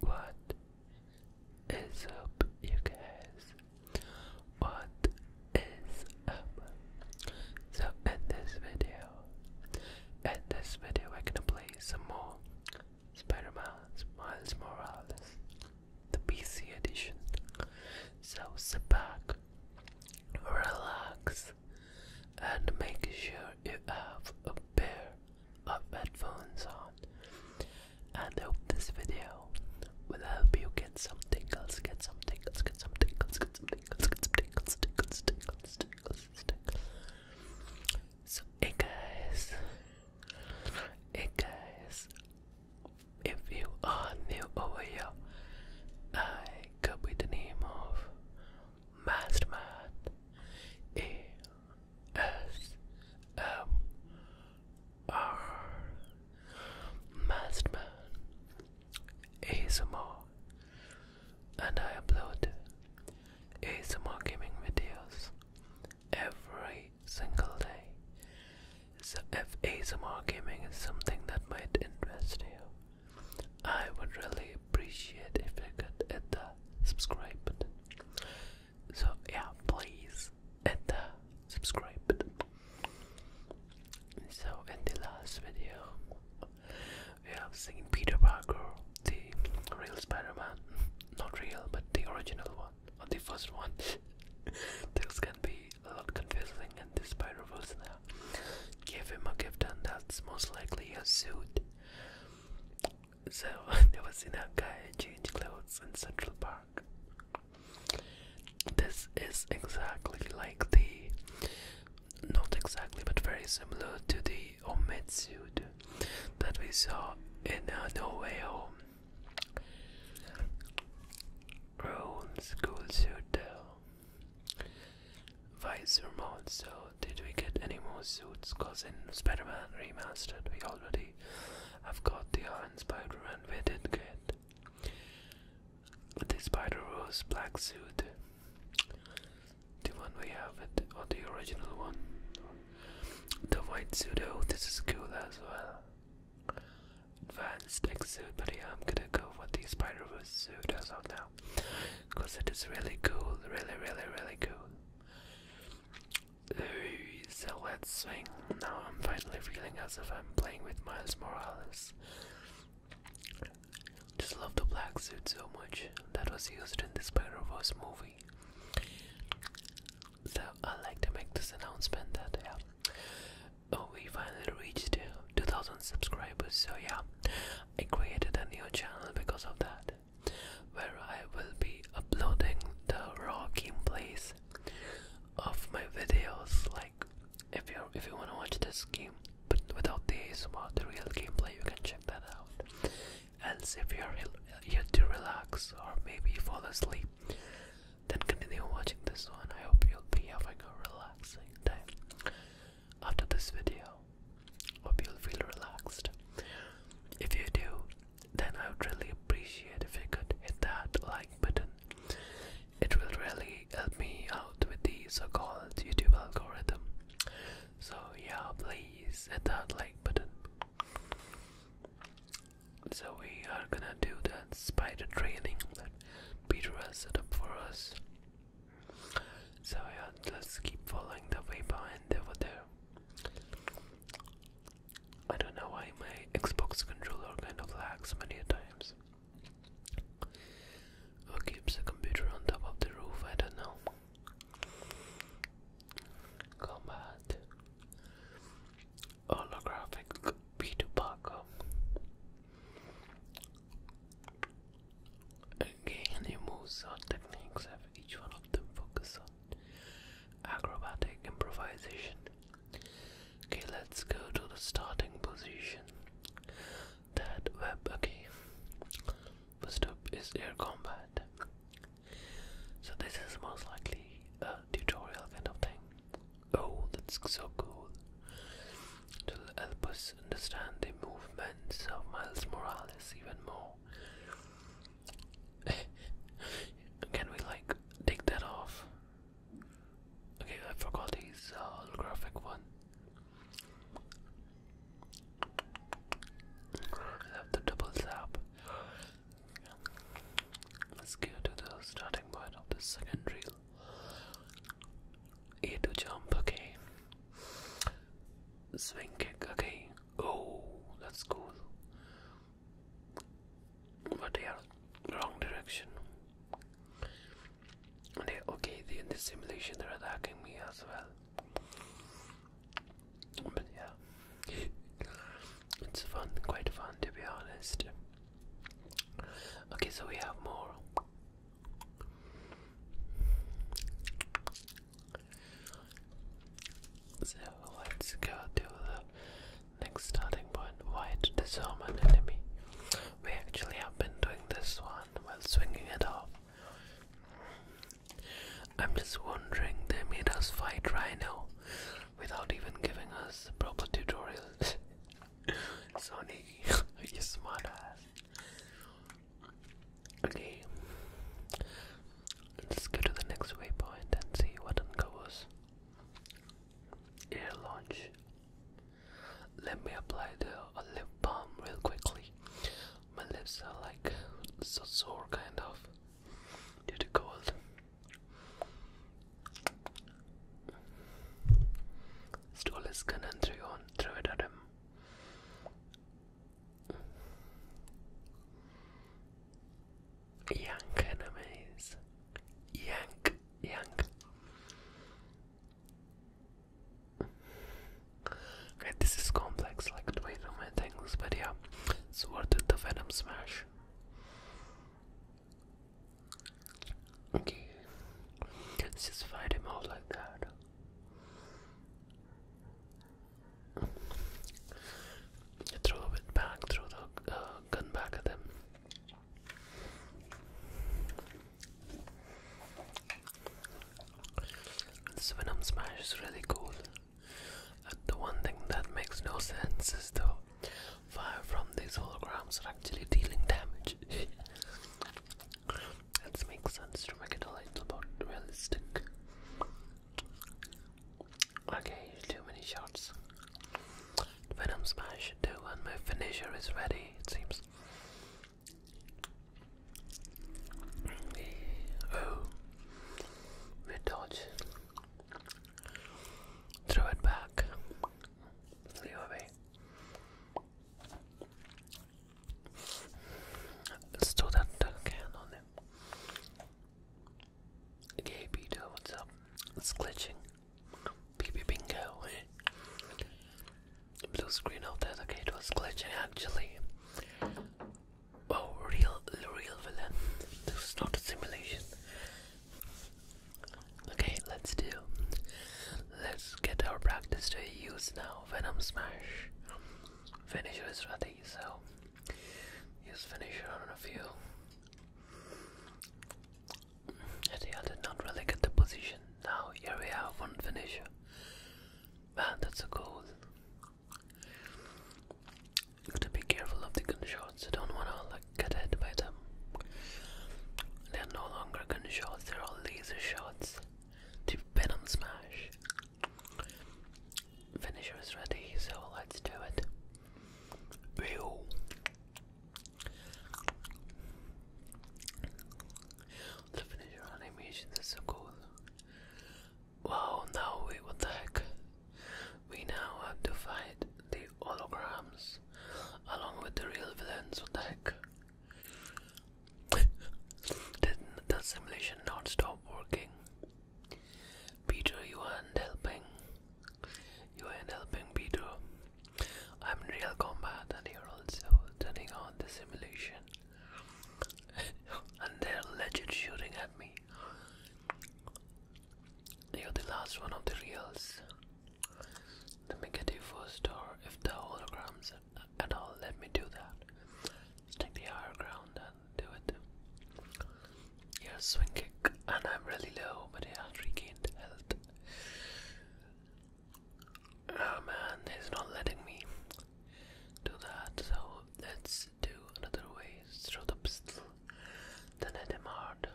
What is up, you guys? What is up? So, in this video, in this video, we're gonna play some more Spider Man's Miles Morales, the PC edition. So, sit back, relax, and make sure you have a pair of headphones on. And hope this video will help you get some tingles, get some tingles, get some tingles, get some tingles, get some tingles, tingles, tingles, tingles, tingles. So, hey guys, hey guys, if you are new over here, I could be the name of Masterman ASMR Masterman ASMR and I upload ASMR gaming videos every single day. if ASMR gaming is something that might interest you, I would really appreciate if you could hit the subscribe button. So yeah, please hit the subscribe button. So in the last video, we have seen Peter Parker, the real Spider-Man, not real, but the original one, or the first one. Things can be a lot confusing and the Spider-Verse now give him a gift, and that's most likely a suit. So they were seeing a guy change clothes in Central Park. This is exactly like the, not exactly, but very similar to the omid suit that we saw in uh, No Way Home. Her school suit, though. Vice Vermont. So, did we get any more suits? Cause in Spider Man Remastered, we already have got the Iron Spider Man. We did get the Spider Rose black suit. The one we have, it, or the original one. The white suit. Oh, this is cool as well. Advanced tech suit, but yeah, I'm gonna go with the Spider Verse suit as of now because it is really cool, really, really, really cool. Ooh, so let's swing. Now I'm finally feeling as if I'm playing with Miles Morales. Just love the black suit so much that was used in the Spider Verse movie. So I like to make this announcement that yeah, oh, we finally reached 2000 subscribers so yeah i created a new channel because of that where i will be uploading the raw gameplays of my videos like if you if you want to watch this game but without the about the real gameplay you can check that out And if you're here to relax or maybe fall asleep then continue watching this one i hope you'll be having a relaxing time after this video. Hope you'll feel relaxed. If you do, then I would really appreciate if you could hit that like button. It will really help me out with the so-called YouTube algorithm. So yeah, please hit that like button. So we are gonna do that spider training that Peter has set up for us. So yeah, just keep following the way behind over there. I don't know why my Xbox controller kind of lags many times. Who keeps the computer on top of the roof? I don't know. Combat. Holographic Peter Parker. Again, the moves or techniques have each one of them focus on acrobatic improvisation. Okay, let's go to the starting position. That web, okay. First up is air combat. So, this is most likely a tutorial kind of thing. Oh, that's so cool. To help us understand the movements of Miles Morales even more. Can we like take that off? Okay, I forgot his uh, holographic one. I love the double zap. Let's go to the starting point of the second a to jump, okay. Swing kick, okay. Oh, that's cool. But yeah, wrong direction. okay, they, in simulation they're attacking me as well. But yeah, it's fun, quite fun to be honest. Okay, so we have more. So let's go to the next starting point. White disarm an enemy. We actually have been doing this one while swinging it off. I'm just wondering they made us fight right now, without even giving us proper tutorials. Sonny, you smartass. Okay, let's go to the next waypoint and see what uncovers. Air launch. Let me apply the lip balm real quickly. My lips are like so sore, kind of, due to cold. Stole his gun and threw, on, threw it at him. Yank enemies. Yank, yank. Okay, this is complex, like the way too many things, but yeah, it's worth it the Venom Smash. Okay, let's just fight him out like that. You throw it back, throw the uh, gun back at them. This Venom Smash is really cool. Uh, the one thing that makes no sense is though fire from these holograms are actually dealing damage. that makes sense to make it a little bit realistic. Okay, too many shots. Venom Smash 2 and my finisher is ready, it seems. Oh, we dodge. Throw it back. Leo Bay. Studenterkern on him. Gay Peter, what's up? It's glitching. BB Bingo. Eh? Blue screen out there, okay, it was glitching actually. Oh, real, real villain. This is not a simulation. Okay, let's do. Let's get our practice to use now. Venom Smash. Finisher is ready, so use finisher on a few. I think I did not really get the position. Now here we have one finisher. Man, that's a goal. Gotta be careful of the gun don't wanna gutted by them. They are no longer gunshots, they're all laser shots. To venom smash. Finisher is ready, so let's do it. The finisher animations are so cool. Wow, now wait, what the heck? We now have to fight the holograms along with the real villains. What the heck? Did the simulation not stop working? Peter, you aren't helping. You aren't helping, Peter. I'm in real combat, and you're also turning on the simulation. and they're legit shooting at me. You're the last one of the reals. Let me get you first, or if the holograms at all, let me do that. Stick the higher ground and do it. Yeah, swing kick, and I'm really low, but yeah, regained health. Oh man, he's not letting me do that, so let's do another way. through the pistol. Den är Demard.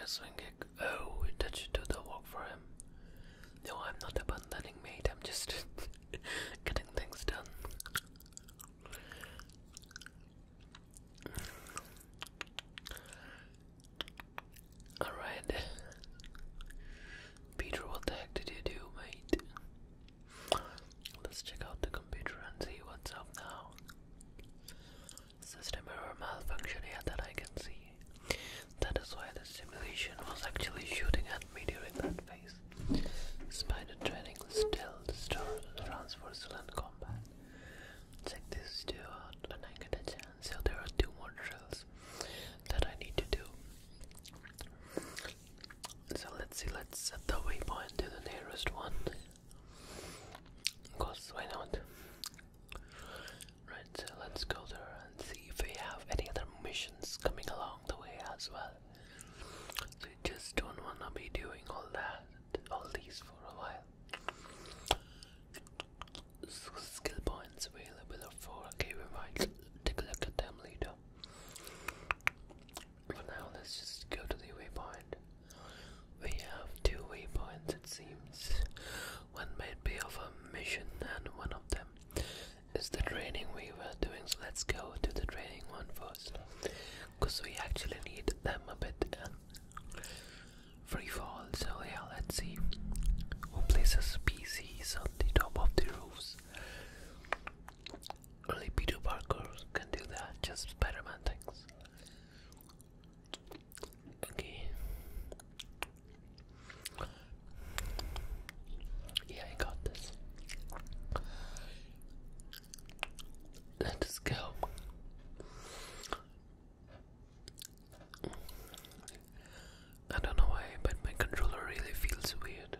Yes, Wingek. Oh, did you do the work for him? No, I'm not abandoning mate, I'm just getting things done. Alright. Peter, what the heck did you do, mate? Let's check out the computer and see what's up now. System error malfunction, here that I can see. That is why the simulation was actually shooting at me during that phase. Spider training, still, store, for silent combat. Check this two out when I get a chance. So, there are two more drills that I need to do. So let's see, let's set the waypoint to the nearest one. Because why not? Right, so let's go there and see if we have any other missions coming along the way as well. So you just don't wanna be doing all that, all these for a while. So skill points available for. 4, okay we might take a look at them later. For now, let's just go to the waypoint. We have two waypoints, it seems. One might be of a mission, and one of them is the training we were doing. So let's go to the training one first, because we actually need them a bit. And free fall, so yeah, let's see who places PCs on the top of the roofs. Only Peter Parker can do that, just Spider things. Okay. Yeah, I got this. Let's go. I don't know why, but my controller really feels weird.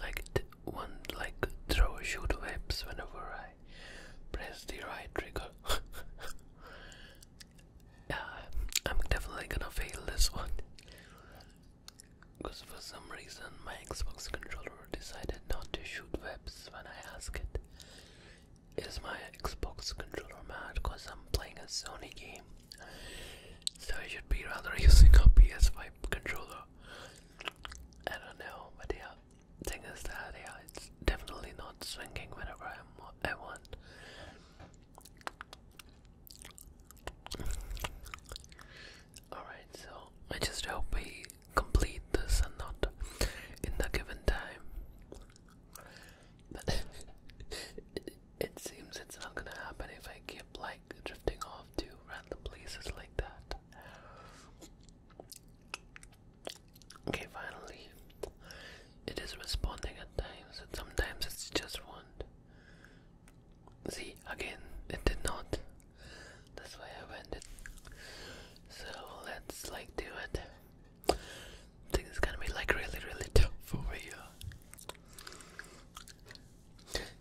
Like one like throw shoot webs whenever I press the right trigger. yeah, I'm definitely gonna fail this one. Because for some reason my Xbox controller decided not to shoot webs when I ask it. Is my Xbox controller mad because I'm playing a Sony game? So I should be rather using a PS5 controller. I don't know, but the Thing is that it's definitely not swinging whenever I'm, I want. Alright, so I just hope we complete this and not in the given time. But it seems it's not gonna happen if I keep like drifting off to random places like that. Okay, finally, it is responding at times, and sometimes it's just one. See, again, it did not. That's why I went it. So let's like do it. I think it's gonna be like really, really tough over here.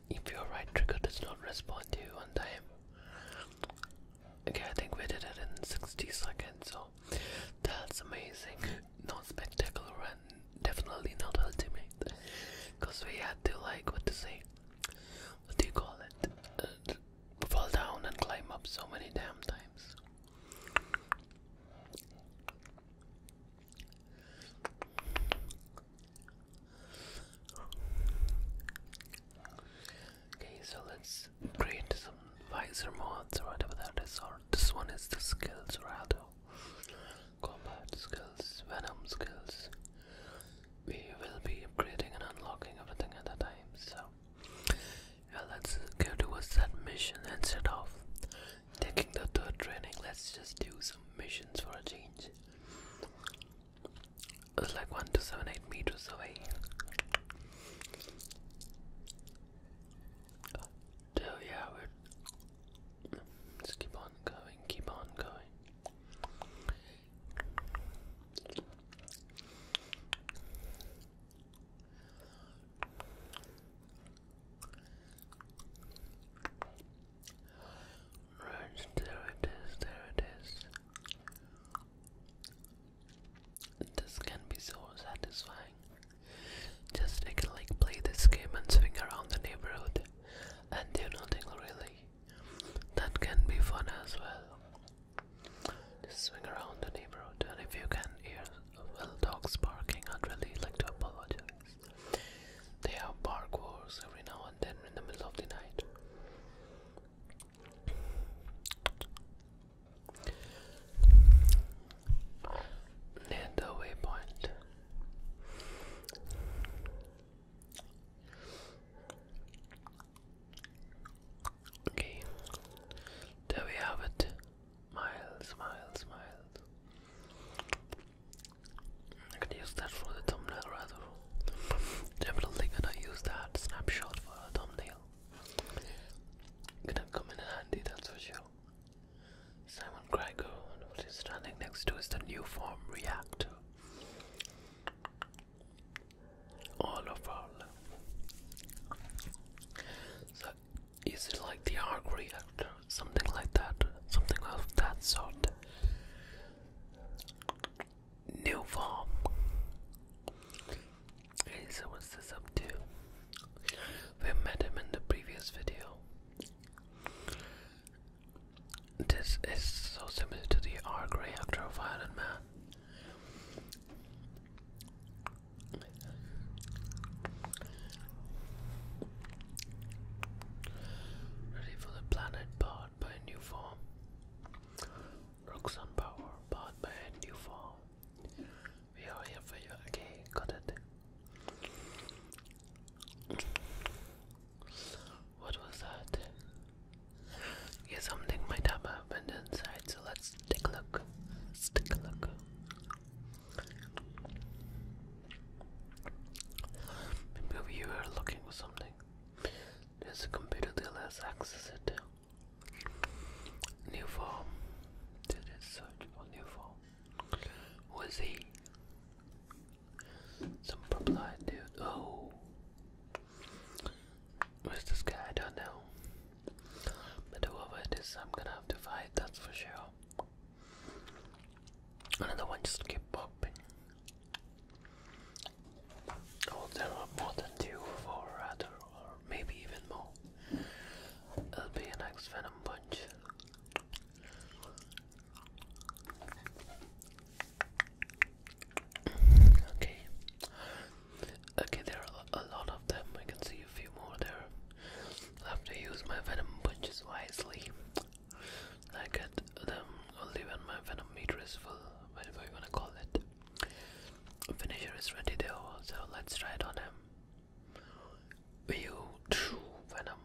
If your right trigger does not respond to you on time. Okay, I think we did it in 60 seconds, so that's amazing. Not spectacular and definitely not ultimate. Because we had to, like, what to say? What do you call it? Uh, fall down and climb up so many damn times. Okay, so let's create some visor mods or whatever that is. Or this one is the skills rather. Combat skills, venom skills. We will be upgrading and unlocking everything at a time. So yeah, let's go towards that mission and set off. Taking the third training, let's just do some missions for a change. It's like one to seven eight meters away. So yeah, we're just keep on going, keep on going. Right, there it is, there it is. This can be so satisfying. Just I can like play this game and swing around the neighborhood and do nothing really. That can be fun as well. Just swing around the neighborhood, and if you can hear well dogs barking, I'd really like to apologize. They have bark wars every now and then in the middle of the night. Near waypoint. Okay, there we have it. Miles, miles, miles. I can use that for the thumbnail rather. Definitely gonna use that snapshot for a thumbnail. Gonna come in handy, that's for sure. Simon Gregor, and standing next to is the new form reactor. All of our love. So is it like the arc reactor? Something like that. Something of that sort. New form. Hey, so what's this up to? We met him in the previous video. This is so similar to the arc reactor Violent Man. Ready for the planet powered by a new form. Rocks on power powered by a new form. We are here for you. Okay, got it. What was that? Yeah, something might have happened inside, so let's Take a look. take a look. Maybe you are looking for something. There's a computer that access New form. Did it search for new form? Who is he? Some purple dude. Oh. Where's this guy? I don't know. But whoever it is, I'm gonna have to fight, that's for sure. Another one just keep popping. Oh, there are more than two, four rather, or maybe even more. It'll be an X Venom Punch. Okay, Okay, there are a lot of them. I can see a few more there. i have to use my venom punches wisely. I get them only when my venom meter is full, whatever you wanna call it. Finisher is ready though, so let's try it on him. View true venom.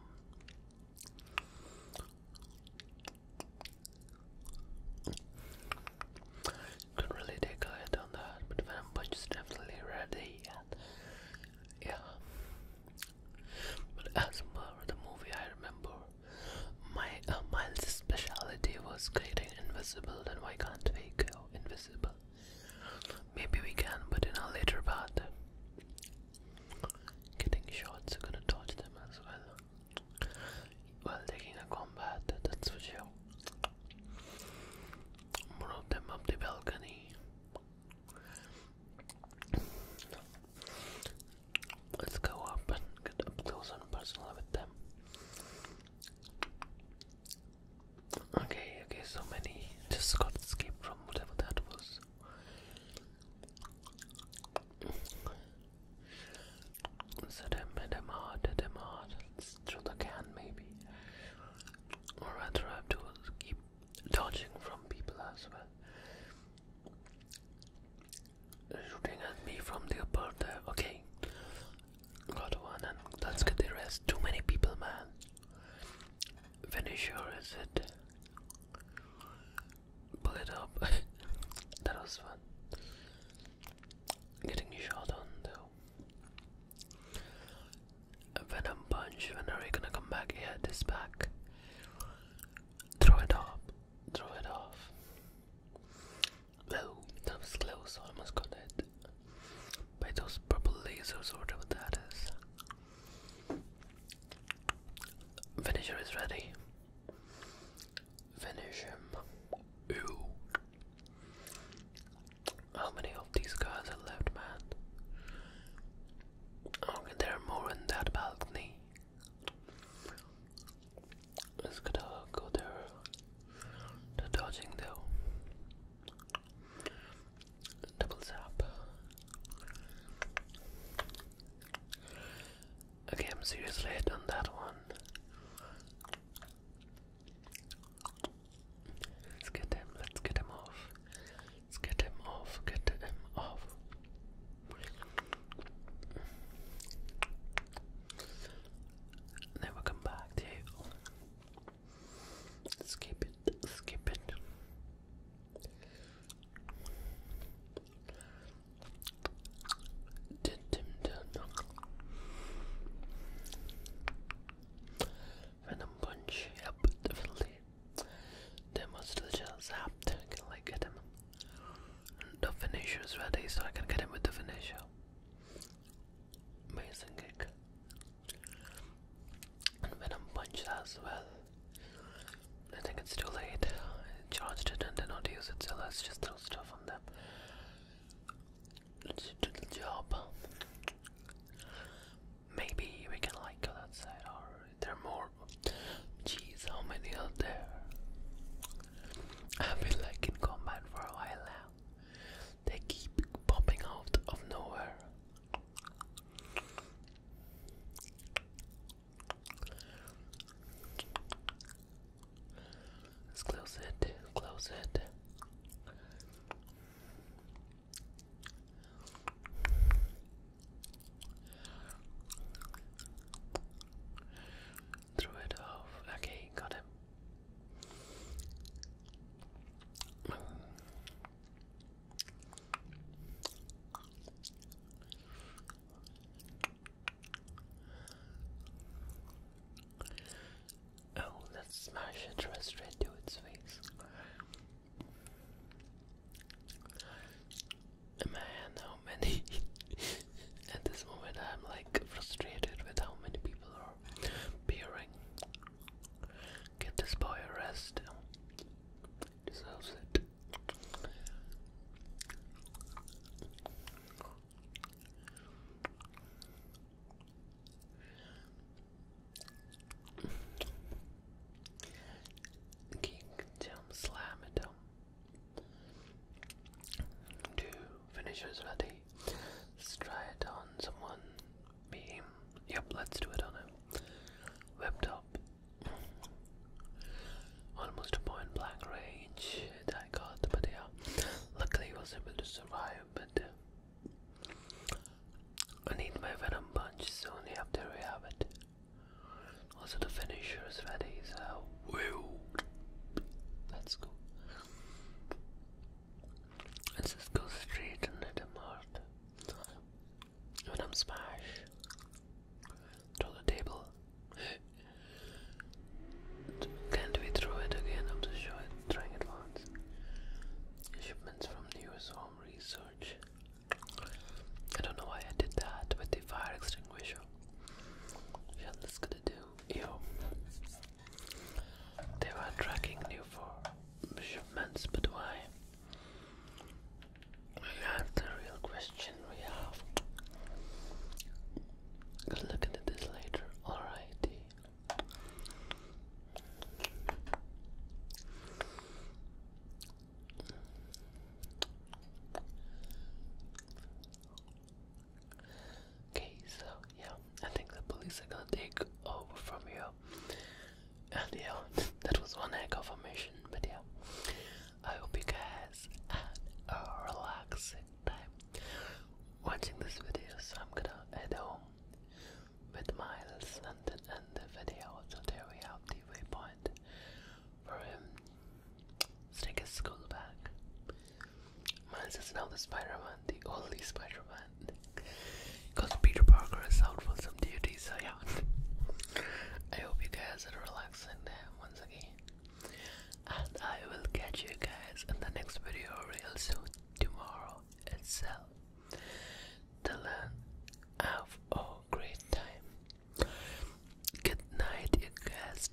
Couldn't really take a hit on that, but Venom Punch is definitely ready. yeah. But as for the movie, I remember my uh, specialty was creating invisible. Then why can't we go invisible? Maybe we can, but in a later part. Getting shots, are gonna dodge them as well while taking a combat, that's for sure. Brought them up the balcony. Let's go up and get up close and personal with them. Okay, okay, so many just got escaped from whatever that was. So them, them hard, them hard. Through the can, maybe. Or rather, have to keep dodging from people as well. Shooting at me from the upper there. Okay. Got one, and let's get the rest. Too many people, man. Finish or is it? Pull it up. that was fun. Getting shot on though. Venom punch. When are we gonna come back? Yeah, this back. Throw it off. Throw it off. Oh, that was close. Almost got it. By those purple lasers or whatever that is. Finisher is ready. Finish him. Ew. How many of these guys are left, man? Okay, oh, there are more in that balcony. Let's to go there. The dodging though. Double zap. Okay, seriously hit that one. Let's get him, let's get him off. Let's get him off, get him off. Never come back to you. Skip it, skip it. Venom punch, yep, definitely. They must still just zapped. Can like get him? the finisher is ready, so I can get him with the finisher. Amazing kick. And Venom punch as well. I think it's too late. charged it and did not use it, so let just stuff on them. let the job. Maybe we can like go that or there are more jeez how many are there? I've been like in combat for a while now. They keep popping out of nowhere. Let's close it, close it. Throw it off. Okay, got him. Oh, let's smash it straight to its face. Man, how many? At this moment, I'm like frustrated with how many people are peering. Get this boy a Deserves it. Kingdom Slamdom to finishers ready. Let's try it on someone. Beam. Yep, let's do it on him. Whipped up. Almost point blank range that got, but yeah, luckily he was able to survive. But uh, I need my venom punch soon after we have it. Also, the finisher is ready, so Let's go. Let's just go straight and hit him Venom smash through the table. Can't we throw it again after show it, trying it once? Shipments from the US Home Research. I don't know why I did that with the fire extinguisher. Yeah, that's gonna do. Yo. They were tracking you for shipments, but why? We the real question we have. Good look into this later, alrighty. Okay, so yeah, I think the police are gonna take over from you. And yeah, that was one heck of a mission, but yeah. I hope you guys had a relaxing time watching this video. So I'm gonna head home with Miles and end the video. So there we have the waypoint for him. let take his school back. Miles is now the Spider-Man, the only Spider-Man. Because Peter Parker is out for some duty, so yeah. I hope you guys had a relaxing time once again. And I will catch you guys in the next video real soon, tomorrow itself. Till then, have a great time. Good night, you guys.